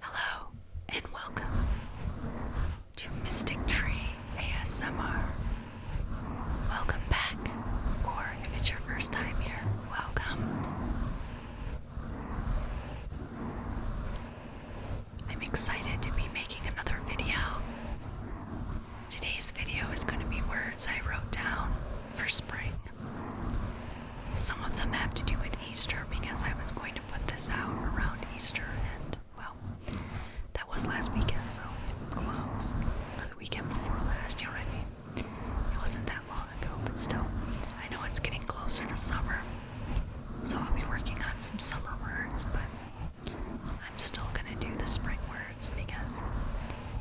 Hello and welcome to Mystic Tree ASMR. Welcome back, or if it's your first time here, welcome. I'm excited to be making another video. Today's video is going to be words I wrote down for spring. Some of them have to do with Easter because I was going to put this out around Easter, and well, that was last weekend, so close. Or the weekend before last, you know I mean? It wasn't that long ago, but still, I know it's getting closer to summer, so I'll be working on some summer words, but I'm still gonna do the spring words because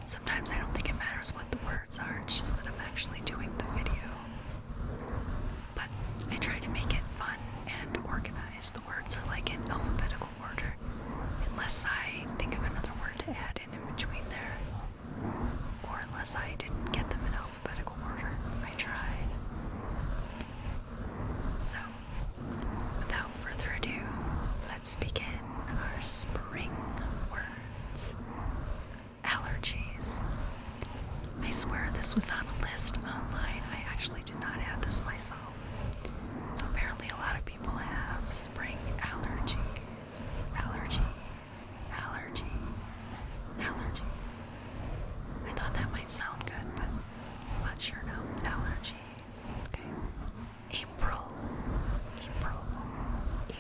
sometimes I don't think it matters what the word it's just that I'm actually doing the video. But I try to make it fun and organized. The words are like in alphabetical order, unless I think of another word to add in in between there, or unless I didn't get them in alphabetical order. I tried. So, without further ado, let's begin our spring words allergies. I swear this was on a list online. I actually did not add this myself. So apparently a lot of people have spring allergies. Allergies. Allergies. Allergies. I thought that might sound good, but I'm not sure now. Allergies. Okay. April. April.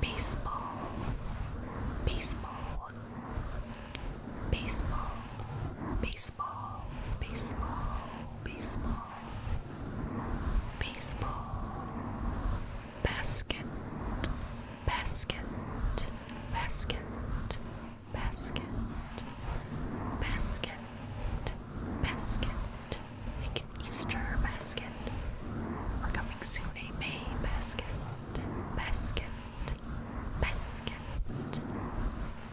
baseball, baseball, baseball, baseball, baseball, baseball, baseball, basket, basket, basket, basket, basket, basket. Like an Easter basket. We're coming soon Tony May basket, basket, basket,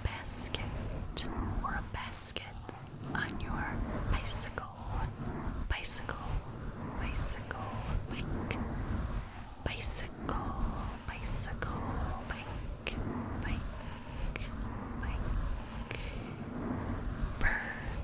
basket, or a basket on your bicycle, bicycle, bicycle, bike, bicycle, bicycle, bike, bike, bike. Bird,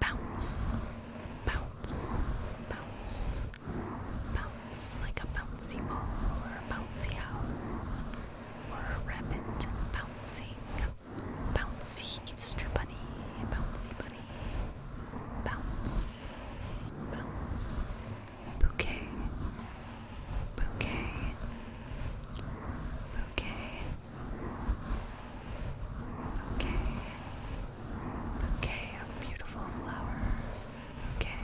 Bounce, bounce, bounce, bounce like a bouncy ball or a bouncy house or a rabbit bouncing. Bouncy Easter bunny, bouncy bunny, bounce, bounce, bouquet, bouquet, bouquet, Okay. Bouquet beautiful flowers. Okay.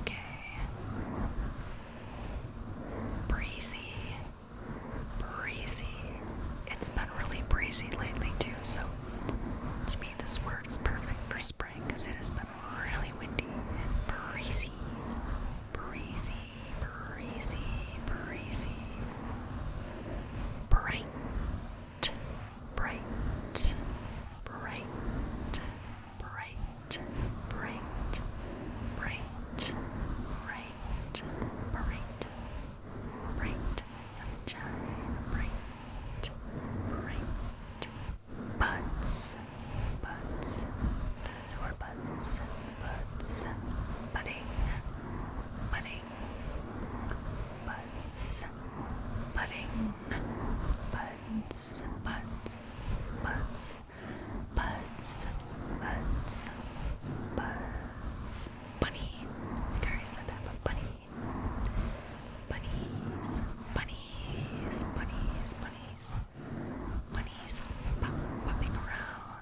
Okay. Breezy. Breezy. It's been really breezy lately too, so to me this word is perfect for spring because it has been really windy and breezy. Breezy breezy, breezy, bright, bright, bright, bright, bright, bright, bright, bright, bright sunshine, bright, bright buds, buds, flower buds. Buds, budding, budding, buds, budding, buds, buds, buds, buds, buds, buds, bunny. I already said that, but bunny, bunnies, bunnies, bunnies, bunnies, bunnies, popping around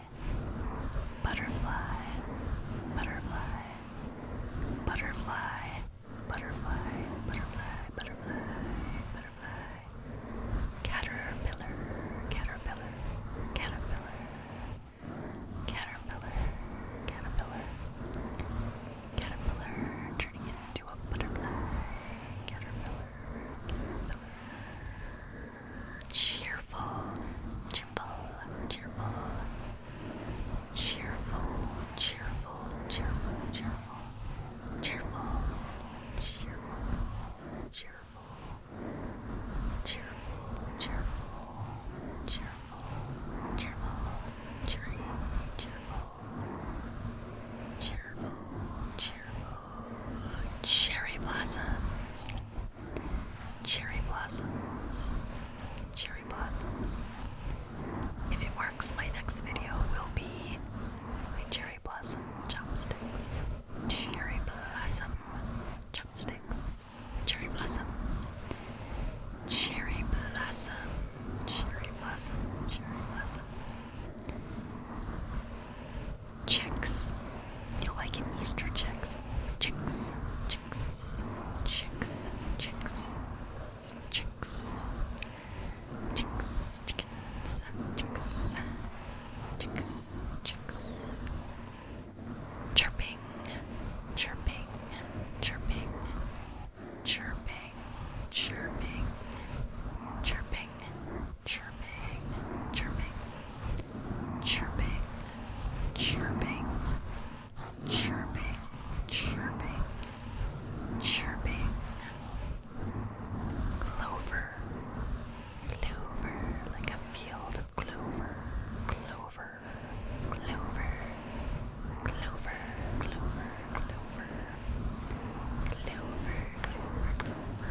butterfly, butterfly, butterfly, butterfly, butterfly, butterfly, butterfly, caterpillar, caterpillar, caterpillar, caterpillar, caterpillar, caterpillar, turning into a butterfly, caterpillar cheerful, cheerful, cheerful, cheerful, cheerful, cheerful, cheerful, cheerful, cheerful, cheerful, cheerful, cheerful, cheerful, cheerful, cheerful, cherry blossoms. Cherry blossoms. Cherry blossoms. If it works, my next video will be my cherry blossom chopsticks. Cherry blossom chopsticks. Cherry blossom. Cherry blossom. Cherry blossom. Cherry blossoms chicks. You'll like an Easter chicks. Chicks, chicks, chicks, chicks, chicks, chicks, chickens, chicks, chicks, chicks. Chirping, chirping, chirping, chirping, chirping, chirping chirping, chirping, chirping, chirping, chirping, chirping, chirping, clover, clover, like a field of clover, clover, clover, clover, clover. Clover, clover, clover.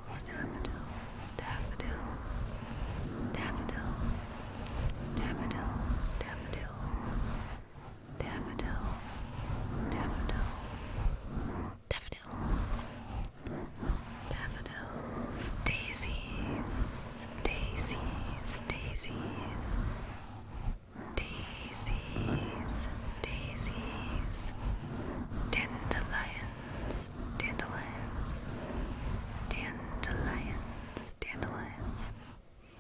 daffodils, daffodils, daffodils, daffodils, daffodils, daffodils, daffodils, daffodils, daffodils, daisies, daisies, daisies, daisies, daisies, dandelions, dandelions, dandelions, dandelions,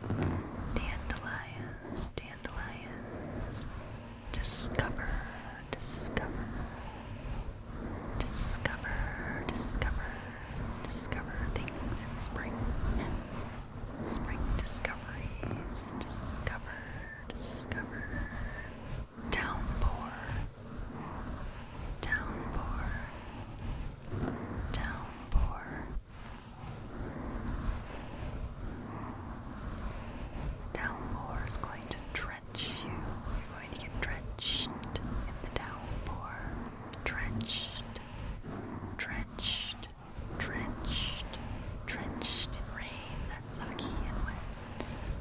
dandelions, dandelions, dandelions. Discover, discover, discover, discover, discover things in spring. Spring discoveries, discover, discover. Downpour, downpour, downpour. Downpour is going to drench you. You're going to get drenched in the downpour. Drenched, drenched, drenched, drenched in rain. That's soggy and wet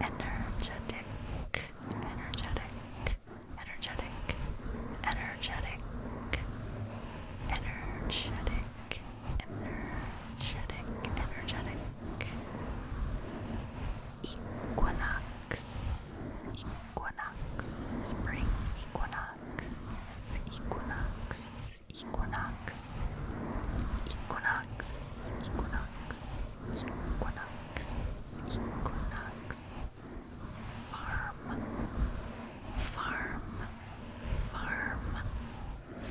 energetic, energetic, energetic, energetic, energetic, energetic, energetic. Equinox, equinox, spring equinox, equinox, equinox, equinox, equinox, equinox, equinox, farm, farm, farm,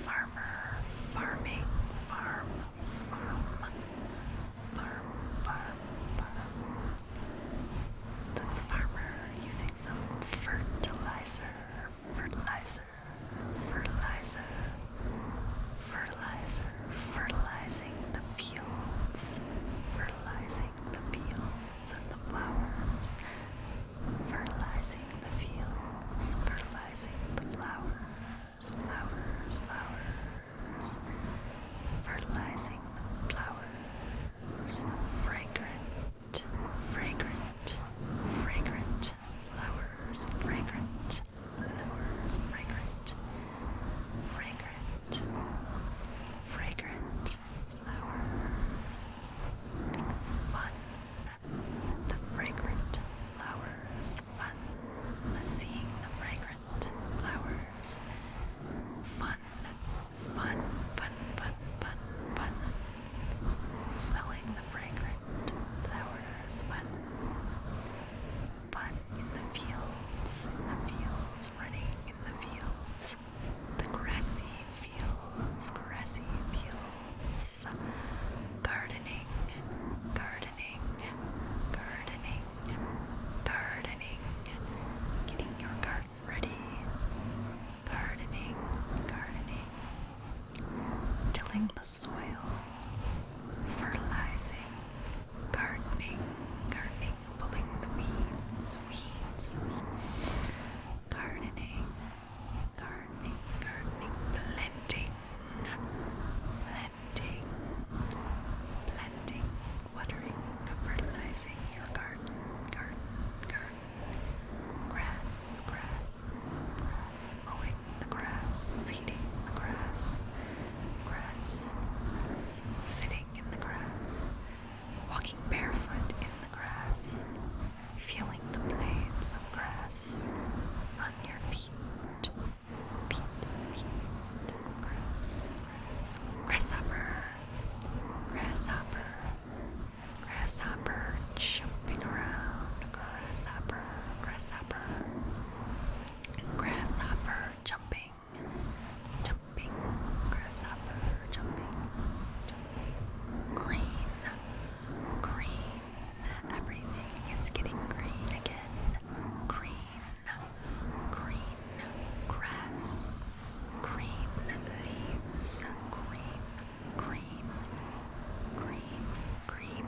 farmer, farming, farm, farm, farm, farm, farm. The farmer using some fertilizer, fertilizer fertilizer, fertilizer, fertilizing the fields, fertilizing the fields and the flowers, fertilizing the fields, fertilizing the flowers, flowers, flowers, fertilizing the flowers, the fragrant, fragrant, fragrant flowers, fragrant fragrant, fragrant, fragrant flowers. Fun, the fragrant flowers. Fun, seeing the fragrant flowers. Fun, fun, fun, fun, fun, fun. Smelling the fragrant flowers. Fun but in the fields, the fields, running in the fields, the grassy fields, grassy fields, gardening, gardening, gardening, gardening, getting your garden ready, gardening, gardening, tilling the soil, fertilizing, gardening, gardening, pulling the weeds, weeds, gardening, gardening, gardening, planting, planting, planting, watering, fertilizing your garden, garden, garden, grass, grass, grass mowing the grass, seeding the grass, grass, sitting in the grass, walking barefoot in the grass, feeling the blades of grass on feet, feet, feet, grass, grass, grasshopper, grasshopper, grasshopper jumping around, grasshopper, grasshopper, Grasshopper jumping, jumping, grasshopper jumping, jumping. Green, green, everything is getting green again. Green, green, grass, green leaves, green, green, green, green,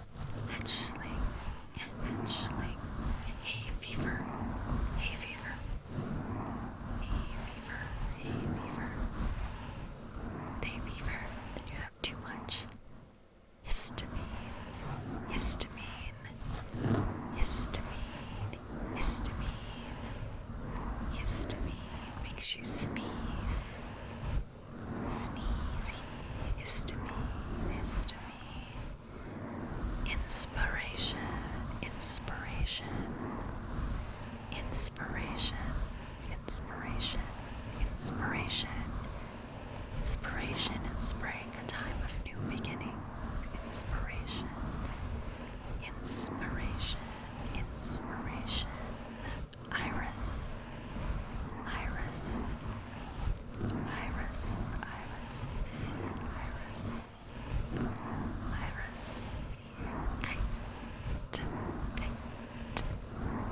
Hatchling, hatchling, hay fever, hay fever, hay fever, hay fever, hay fever. Then you have too much histamine, histamine, histamine, histamine, histamine makes you sneeze. Sneezy, histamine, histamine, Inspiration, inspiration, inspiration, inspiration, inspiration, inspiration in a time of new beginnings. Inspiration, inspiration, inspiration. Iris, iris, Iris, Iris, Iris, Iris, kite, kite,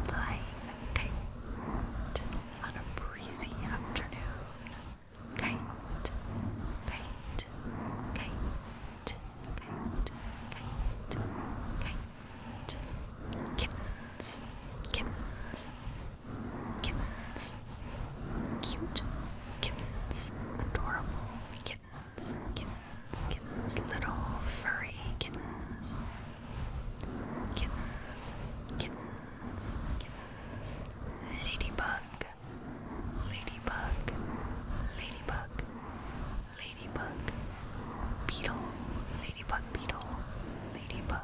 flying kite on a breezy afternoon. Kite, kite, kite, kite, kite, kite. Kittens, kittens, Kittens. Cute kittens. Adorable kittens. Kittens. Kittens. Little furry kittens. Kittens. Kittens. Kittens. Ladybug. Ladybug. Ladybug. Ladybug. Beetle. Ladybug beetle. Ladybug.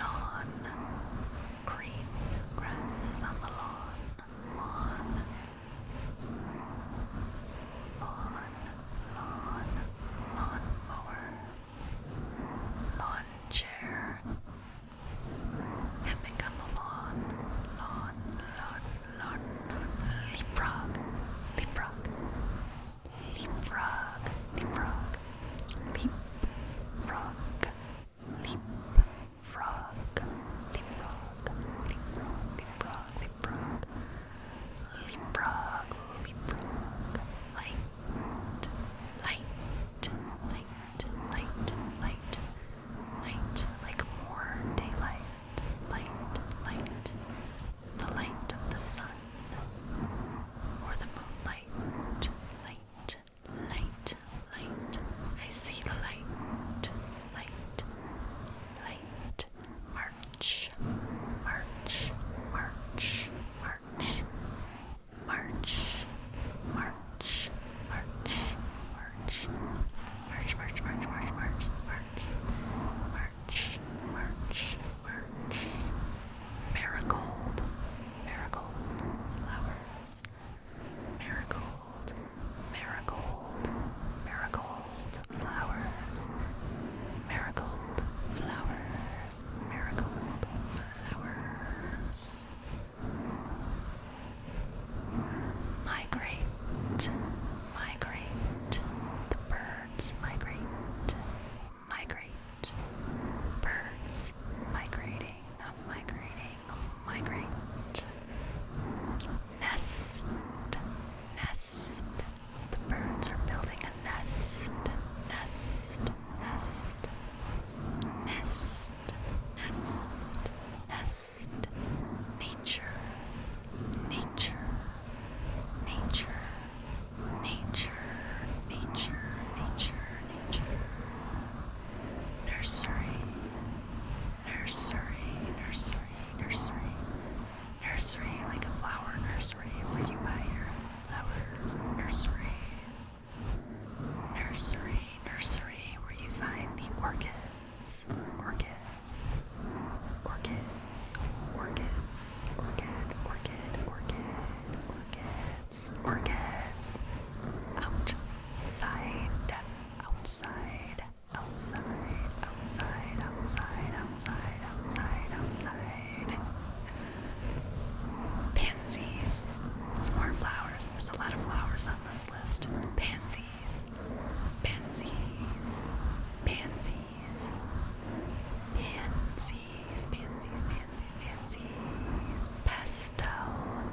lawn, green grass on the lawn, lawn, lawn, lawn, mower, lawn chair, hemming on the lawn, lawn, lawn, lawn, leapfrog, leapfrog, leapfrog, leapfrog, leapfrog. Leap, frog, the frog, the frog, the frog, the frog, the frog, the frog, light, light, light, light, light, light, like more daylight, light, light, the light of the sun, or the moonlight, light, light, light. I see the light, light, light. March, march, march, march, march, march, march, march, march, march, march, march, march, march, march, march, march. Marigold, marigold flower. Marigold, marigold, marigold flowers. Marigold flowers, marigold flowers. Migrate, migrate, the birds migrate, migrate, birds migrating, migrating. Migrate. Nest. Nest. The birds are building a nest. Nest. Nest. Nest. Nest. Nest. Nature. Nature. Nature. Nature. Nature. Nature. Nature nursery, nursery, nursery, nursery, nursery, like a flower nursery where you buy your flowers, nursery, nursery, nursery, where you find the orchids, orchids, orchids, orchids, orchid, orchid, orchid, orchids, orchids, ouch. Side, outside, outside, outside, outside, outside, outside, outside. Pansies. Some more flowers. There's a lot of flowers on this list. Pansies. Pansies. Pansies. Pansies. Pansies. Pansies. Pansies. Pastel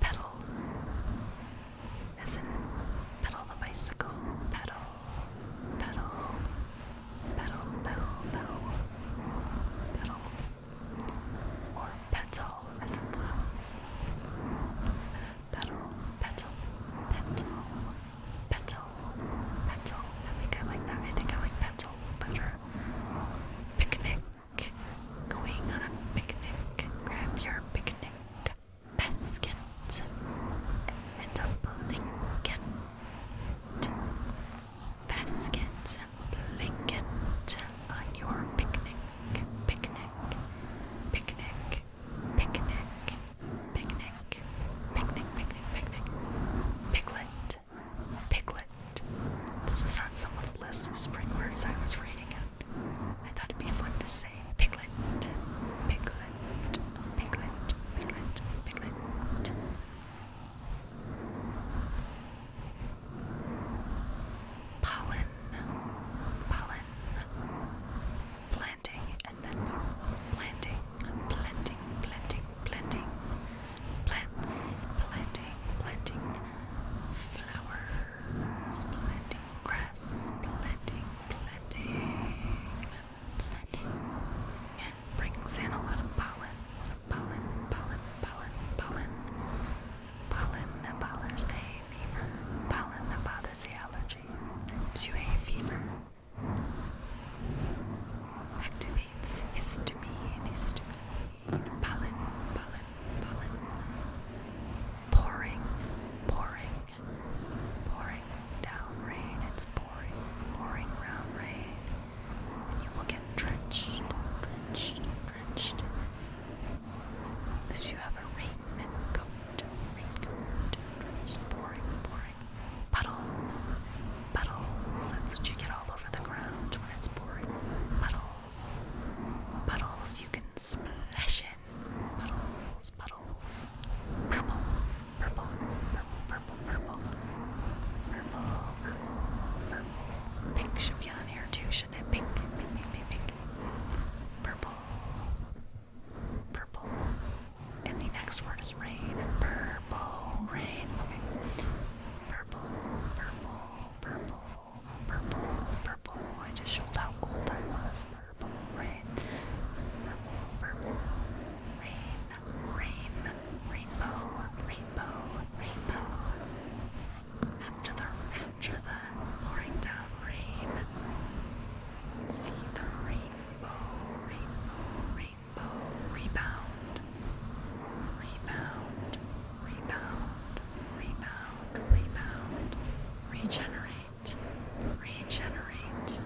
pedal, as in pedal the bicycle, pedal, pedal, pedal, pedal, pedal, pedal, or petal as in flowers, petal, petal, petal, petal, petal. I think I like that. I think I like petal better. Picnic. Going on a picnic. Grab your picnic basket and a blanket. Basket and blanket on your picnic. Picnic. Picnic. Picnic. Picnic. Picnic. Picnic. Picnic. Piglet. Piglet. This was on someone's list of spring words I was reading, and I thought it'd be fun to say piglet, piglet, piglet, piglet, piglet. Pollen, pollen, planting, and then planting, planting, planting, planting, plants, planting, planting, flower, Splitting grass, planting, planting, planting. It brings in a lot of pollen, pollen, pollen, pollen, pollen. Pollen that bothers the hay fever, pollen that bothers the allergies, gives you hay fever. Activates histamine, histamine, pollen, pollen, pollen. Pouring, pouring, pouring down rain. It's pouring, pouring round rain. You will get drenched, drenched, drenched. Unless you have a raincoat, raincoat, drenched, pouring, pouring. Puddles, puddles. That's what you get all over the ground when it's pouring. Puddles puddles you can splash in. Puddles, puddles. Purple, purple, purple, purple, purple. Purple, purple, purple. Pink should be on here too, shouldn't it? Pink, Purple, purple. And the next word is rain. Purple, rain. Purple, purple, purple purple, purple. I just showed how old I was. Purple rain, purple, purple rain, rain, rainbow, rainbow, rainbow. After the after the pouring rain, see the rainbow, rainbow, rainbow rebound, rebound, rebound, rebound rebound, regenerate, regenerate,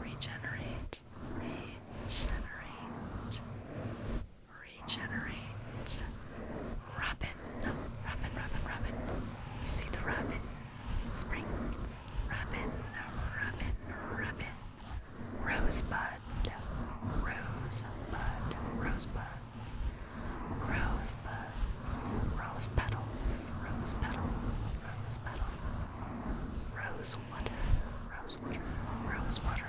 regenerate, regenerate, regenerate, robin, robin, robin, robin. You see the robin? spring. Robin, robin, robin. Rosebud, rosebud, rosebud petals, rose buds, rose petals, rose petals, rose petals, rose water, rose water, rose water,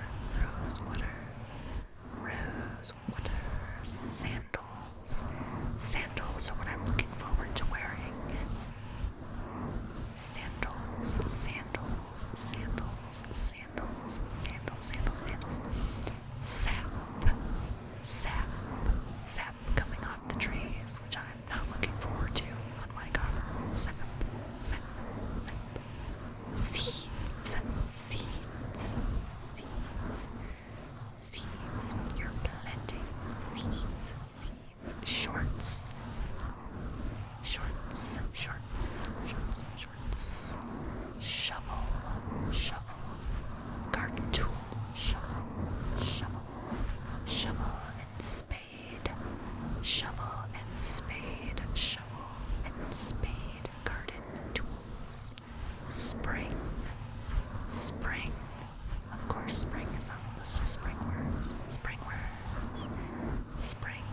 rose water, rose water, sandals. Sandals are what I'm looking forward to wearing. Sandals, sandals, sandals, sandals sandals, sandals, sandals, sandals. Sap, sap, sap coming off the trees, which I'm not looking forward to on oh my cover. Sap, sap, sap. Seeds, seeds, seeds, seeds. You're planting seeds, seeds. Shorts, shorts, shorts, shorts, shorts reference. Shovel, shovel, garden tool, shovel, shovel, shovel and spade, shovel and spade, shovel and spade, garden tools, spring, spring. Of course, spring is on the list of spring words. Spring words. Spring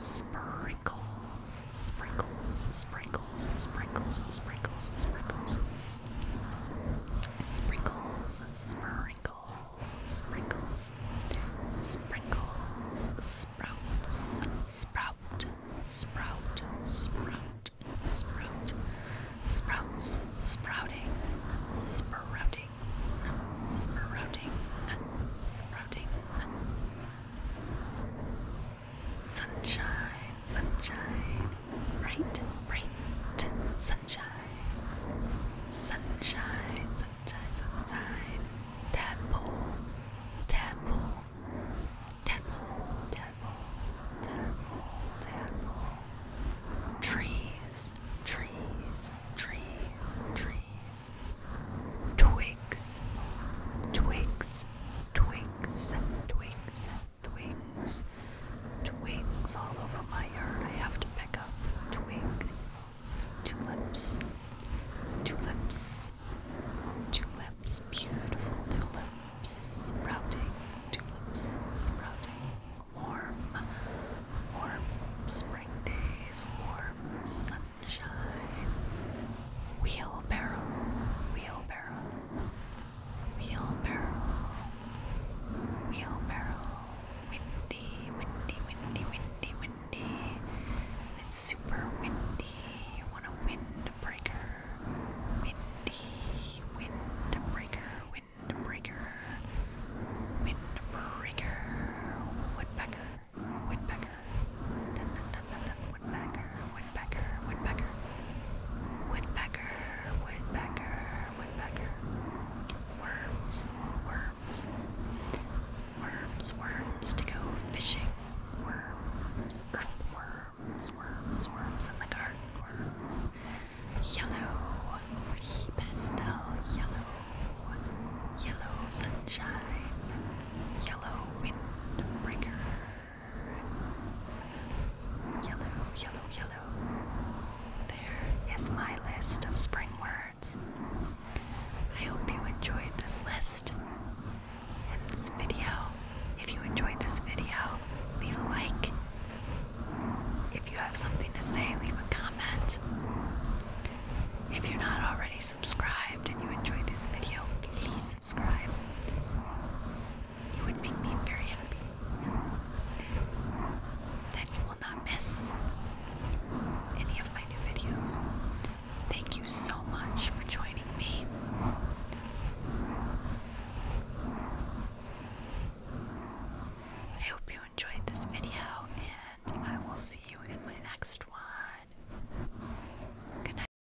sprinkles sprinkles, sprinkles, sprinkles, sprinkles, sprinkles, sprinkles. Sprinkles, sprinkles, sprinkles, sprinkles, sprouts, sprout, sprout, sprout, sprout, sprouts, sprouting, sprouting, sprouting, sprouting. Sunshine, sunshine, bright, bright sunshine. Sunshine, sunshine, sunshine. Tadpole, tadpole, tadpole, tadpole, tadpole, tadpole. Trees, trees, trees, trees. Twigs, twigs, Twigs, twigs, twigs, twigs all over my yard. I have to pick up twigs, tulips, tulips, tulips, beautiful tulips, sprouting, tulips, sprouting, warm, warm spring days, warm sunshine, wheelbarrow, wheelbarrow wheelbarrow, wheelbarrow, Windy, windy, windy, windy, windy. It's super windy. You want a windbreaker. Windy, windbreaker, windbreaker, windbreaker. Woodpecker, woodpecker, woodpecker, woodpecker, woodpecker, woodpecker, woodpecker, woodpecker, worms, worms, worms, worms to go fishing, worms, earthworms, worms, worms in the garden, worms, yellow, pastel yellow. Yellow sunshine, yellow windbreaker, Yellow, yellow, yellow. There is my list of spring words. I hope you enjoyed this list and this video. If you enjoyed this video, leave a like. If you have something to say, leave a comment. If you're not already subscribed and you enjoyed this video, please subscribe. It would make me very happy. Then you will not miss any of my new videos. Thank you so much for joining me. I hope you enjoyed this video, and I will see you in my next one. Good